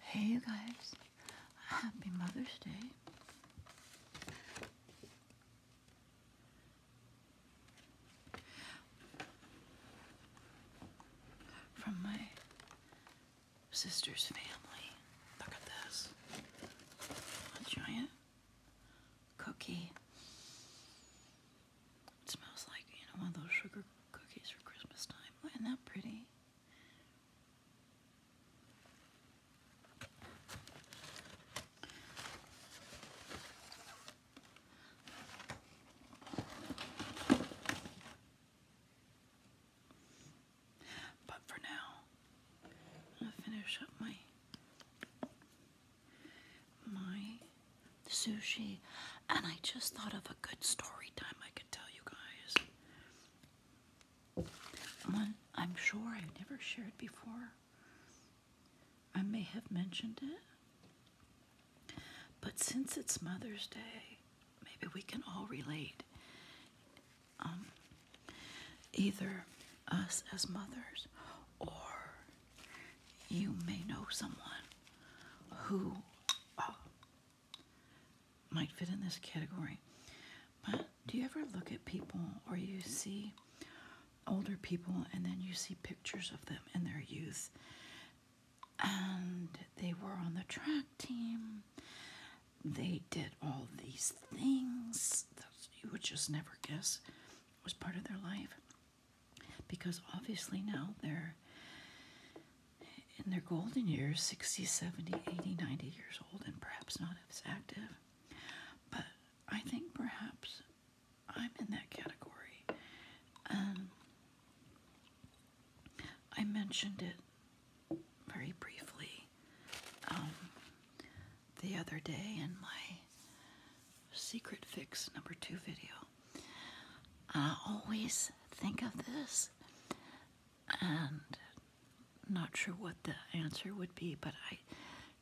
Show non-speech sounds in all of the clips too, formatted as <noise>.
Hey, you guys. Happy Mother's Day. From my sister's family. Look at this. A giant cookie. It smells like, you know, one of those sugar cookies for Christmas time. Isn't that pretty? But for now, I'm gonna finish up my my sushi, and I just thought of a good story time I could tell you guys. One I'm sure I've never shared before. I may have mentioned it, but since it's Mother's Day, maybe we can all relate. Um, either us as mothers, or you may know someone who oh, might fit in this category. But do you ever look at people or you see older people and then you see pictures of them in their youth? And they were on the track team. They did all these things that you would just never guess was part of their life. Because obviously now they're in their golden years 60, 70, 80, 90 years old, and perhaps not as active. But I think perhaps I'm in that category. Um, I mentioned it very briefly um, the other day in my secret fix number two video. I always think of this and not sure what the answer would be, but I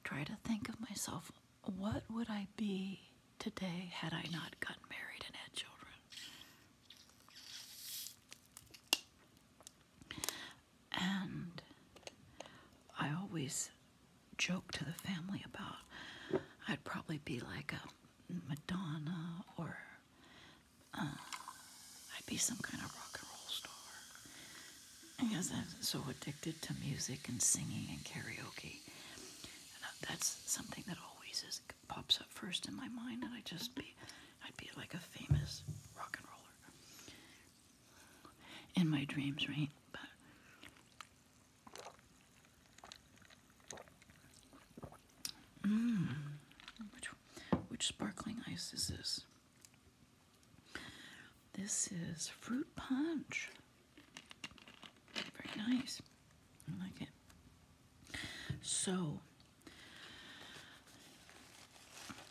try to think of myself what would I be today had I not gotten married and had children? And I always joke to the family about. I'd probably be like a Madonna or uh, I'd be some kind of rock and roll star. Because I'm so addicted to music and singing and karaoke. And uh, that's something that always pops up first in my mind, and I would just be, I'd be like a famous rock and roller in my dreams, right? Mm. Which, which sparkling ice is this? This is fruit punch. Very nice. I like it. So,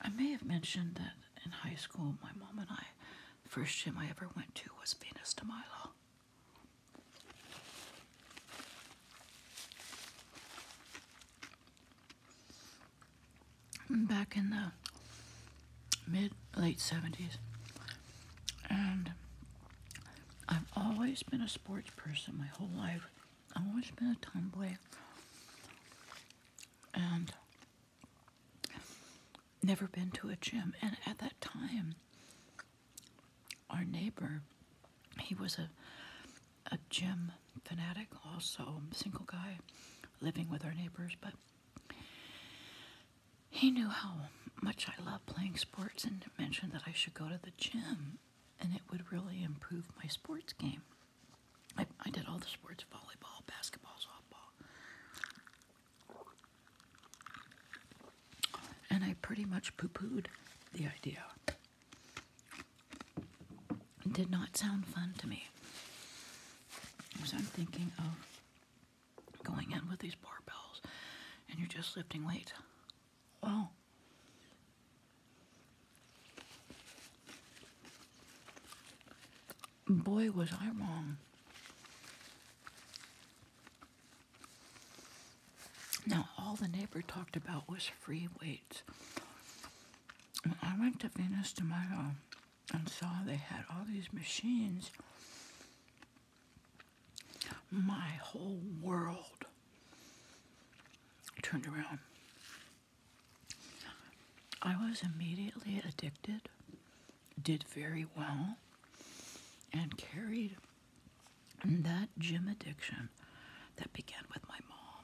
I may have mentioned that in high school, my mom and I First gym I ever went to was Venus de Milo. Back in the mid late 70s. And I've always been a sports person my whole life. I've always been a tomboy. And never been to a gym. And at that time, our neighbor, he was a, a gym fanatic, also single guy living with our neighbors, but he knew how much I loved playing sports and mentioned that I should go to the gym and it would really improve my sports game. I, I did all the sports volleyball, basketball, softball. And I pretty much poo pooed the idea. did not sound fun to me. So I'm thinking of going in with these barbells and you're just lifting weight. Wow. Boy, was I wrong. Now, all the neighbor talked about was free weights. I went to Venus my home, and saw they had all these machines, my whole world turned around. I was immediately addicted, did very well, and carried that gym addiction that began with my mom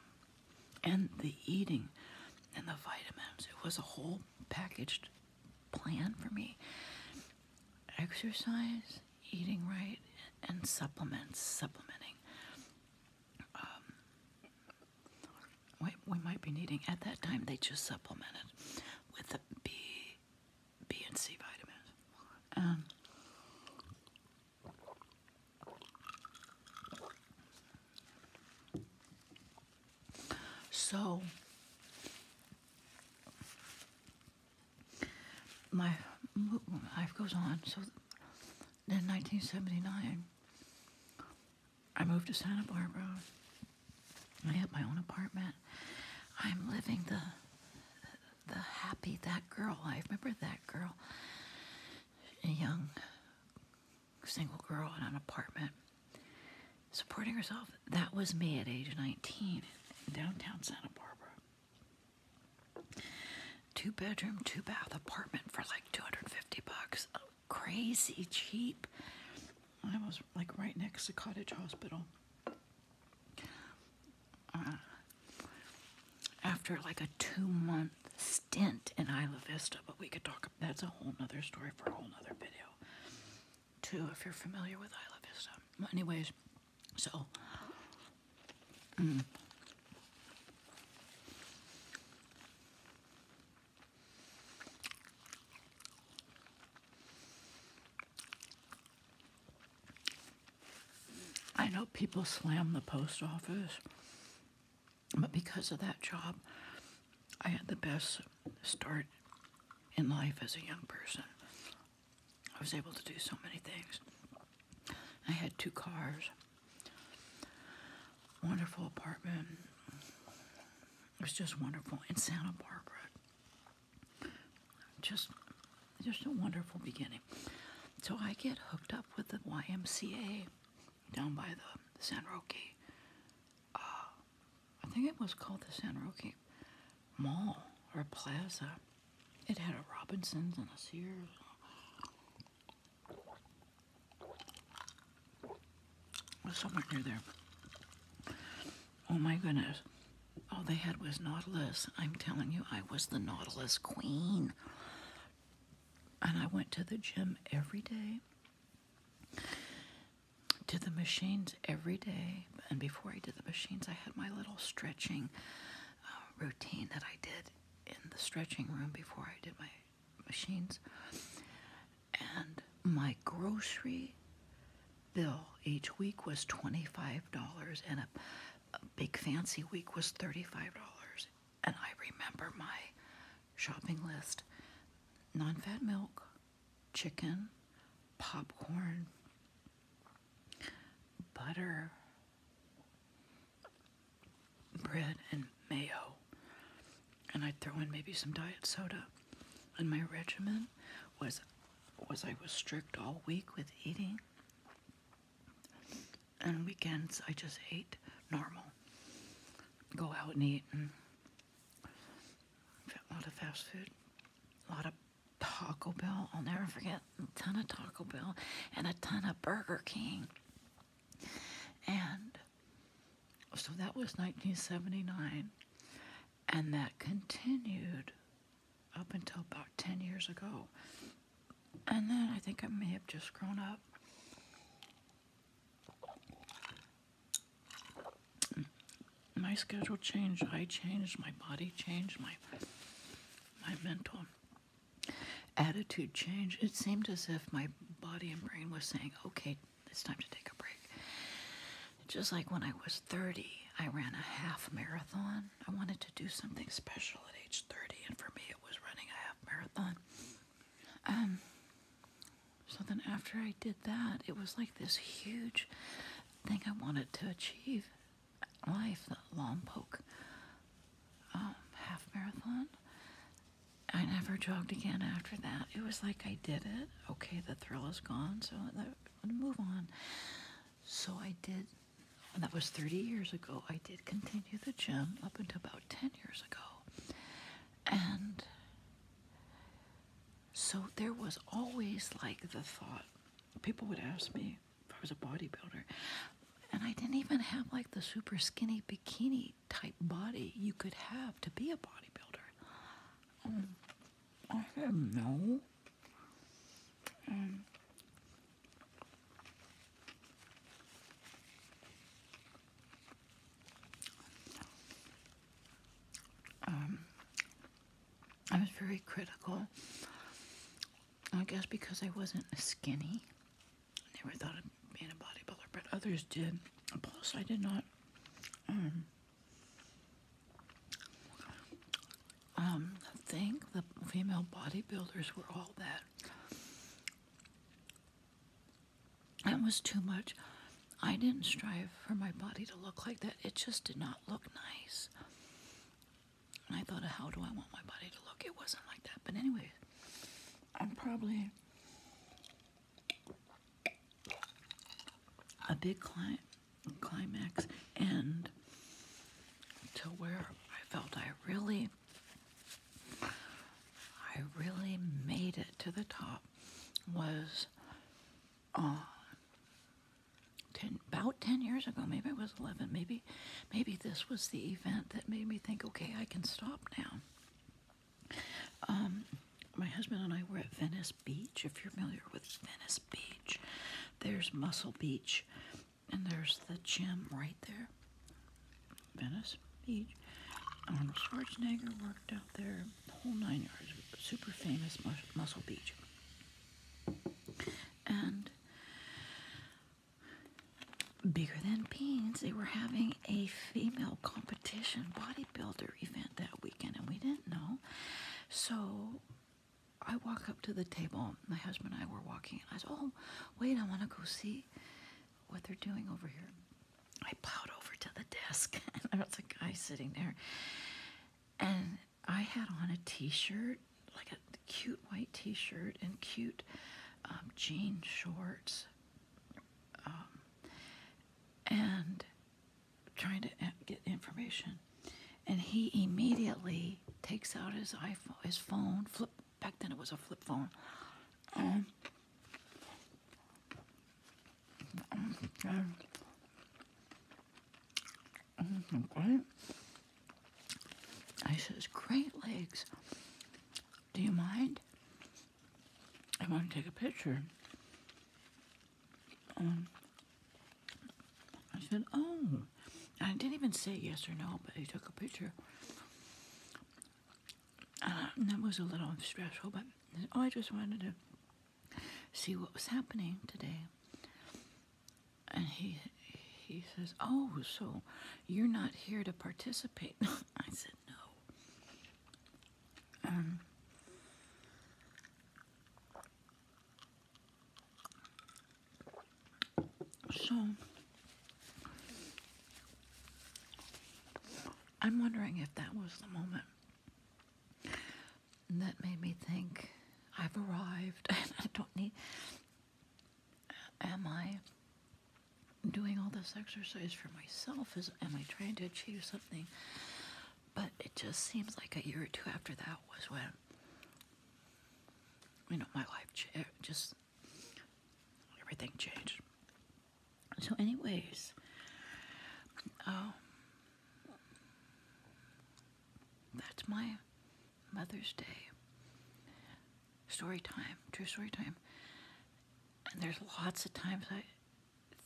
and the eating and the vitamins. It was a whole packaged plan for me. Exercise, eating right, and supplements, supplementing. Um, we, we might be needing, at that time, they just supplemented with the B, B and C vitamins. Um, so, my life goes on. So, in 1979, I moved to Santa Barbara. I had my own apartment. I'm living the the happy that girl. I remember that girl, a young single girl in an apartment, supporting herself. That was me at age 19 in downtown Santa Barbara. Two bedroom, two bath apartment for like 250 bucks crazy cheap. I was like right next to Cottage Hospital. Uh, after like a two month stint in Isla Vista, but we could talk, that's a whole other story for a whole other video, too, if you're familiar with Isla Vista. Well, anyways, so, mm. I know people slam the post office, but because of that job, I had the best start in life as a young person. I was able to do so many things. I had two cars. Wonderful apartment. It was just wonderful in Santa Barbara. Just, just a wonderful beginning. So I get hooked up with the YMCA down by the San Roque. Uh, I think it was called the San Roque Mall or Plaza. It had a Robinsons and a Sears somewhere near there. Oh my goodness. All they had was Nautilus. I'm telling you, I was the Nautilus queen. And I went to the gym every day, To the machines every day. And before I did the machines, I had my little stretching uh, routine that I did in the stretching room before I did my machines. And my grocery bill each week was $25, and a, big fancy week was $35. And I remember my shopping list non fat milk, chicken, popcorn, butter, bread and mayo. And I'd throw in maybe some diet soda. And my regimen was was I was strict all week with eating. And weekends I just ate normal. Go out and eat and a lot of fast food. A lot of Taco Bell. I'll never forget a ton of Taco Bell and a ton of Burger King. And so that was 1979. And that continued up until about 10 years ago. And then I think I may have just grown up. My schedule changed, I changed, my body changed, my my mental attitude change, it seemed as if my body and brain was saying, okay, it's time to take a break. Just like when I was 30, I ran a half marathon. I wanted to do something special at age 30, and for me, it was running a half marathon. Um, so then after I did that, it was like this huge thing I wanted to achieve life, the Lompoc um, half marathon. I never jogged again after that. It was like I did it. Okay, the thrill is gone, so i move on. So I did, and that was 30 years ago. I did continue the gym up until about 10 years ago. And so there was always like the thought, people would ask me, if I was a bodybuilder. And I didn't even have like the super skinny bikini type body you could have to be a bodybuilder. Um, I said no. Um, um, I was very critical I guess because I wasn't skinny. I never thought of being a bodybuilder, but others did. Plus, I did not. Um, um, think the female bodybuilders were all that. That was too much. I didn't strive for my body to look like that. It just did not look nice. And I thought, how do I want my body to look? It wasn't like that. But anyway, I'm probably a big cli climax and to where I felt I really, I really made it to the top was uh, about 10 years ago, maybe it was 11, maybe, maybe this was the event that made me think, okay, I can stop now. Um, my husband and I were at Venice Beach. If you're familiar with Venice Beach, there's Muscle Beach, and there's the gym right there. Venice Beach. Arnold Schwarzenegger worked out there, the whole nine yards, super famous Muscle Beach. And bigger than beans, they were having a female competition bodybuilder event that weekend, and we didn't know. So I walk up to the table. My husband and I were walking, and I said, "Oh, wait, I want to go see what they're doing over here." I plowed over to the desk, <laughs> and there was a guy sitting there, and I had on a t-shirt, like a cute white t-shirt and cute um, jean shorts, um, and trying to uh, get information. And he immediately takes out his iPhone, his phone. Flip back then it was a flip phone. Um, I says, Great legs. Do you mind? I want to take a picture. Um, I said, Oh. I didn't even say yes or no, but he took a picture. Uh, that was a little stressful, but oh, I just wanted to see what was happening today. And he he says, "Oh, so you're not here to participate?" <laughs> I said, "No." Um, so I'm wondering if that was the moment and that made me think I've arrived <laughs> and I don't need. Am I doing all this exercise for myself? Is am I trying to achieve something? But it just seems like a year or two after that was when you know my life just everything changed. So, anyways, um, that's my Mother's Day story time, true story time. And there's lots of times I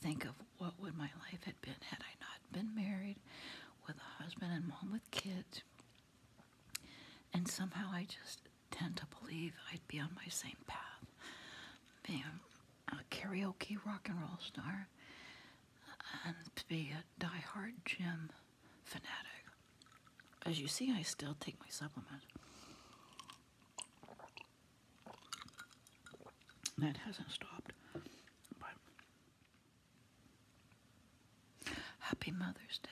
think of what would my life had been had I not been married with a husband and mom with kids. And somehow I just tend to believe I'd be on my same path, being a karaoke rock and roll star and be a diehard gym fanatic. As you see, I still take my supplement. That hasn't stopped. happy Mother's Day.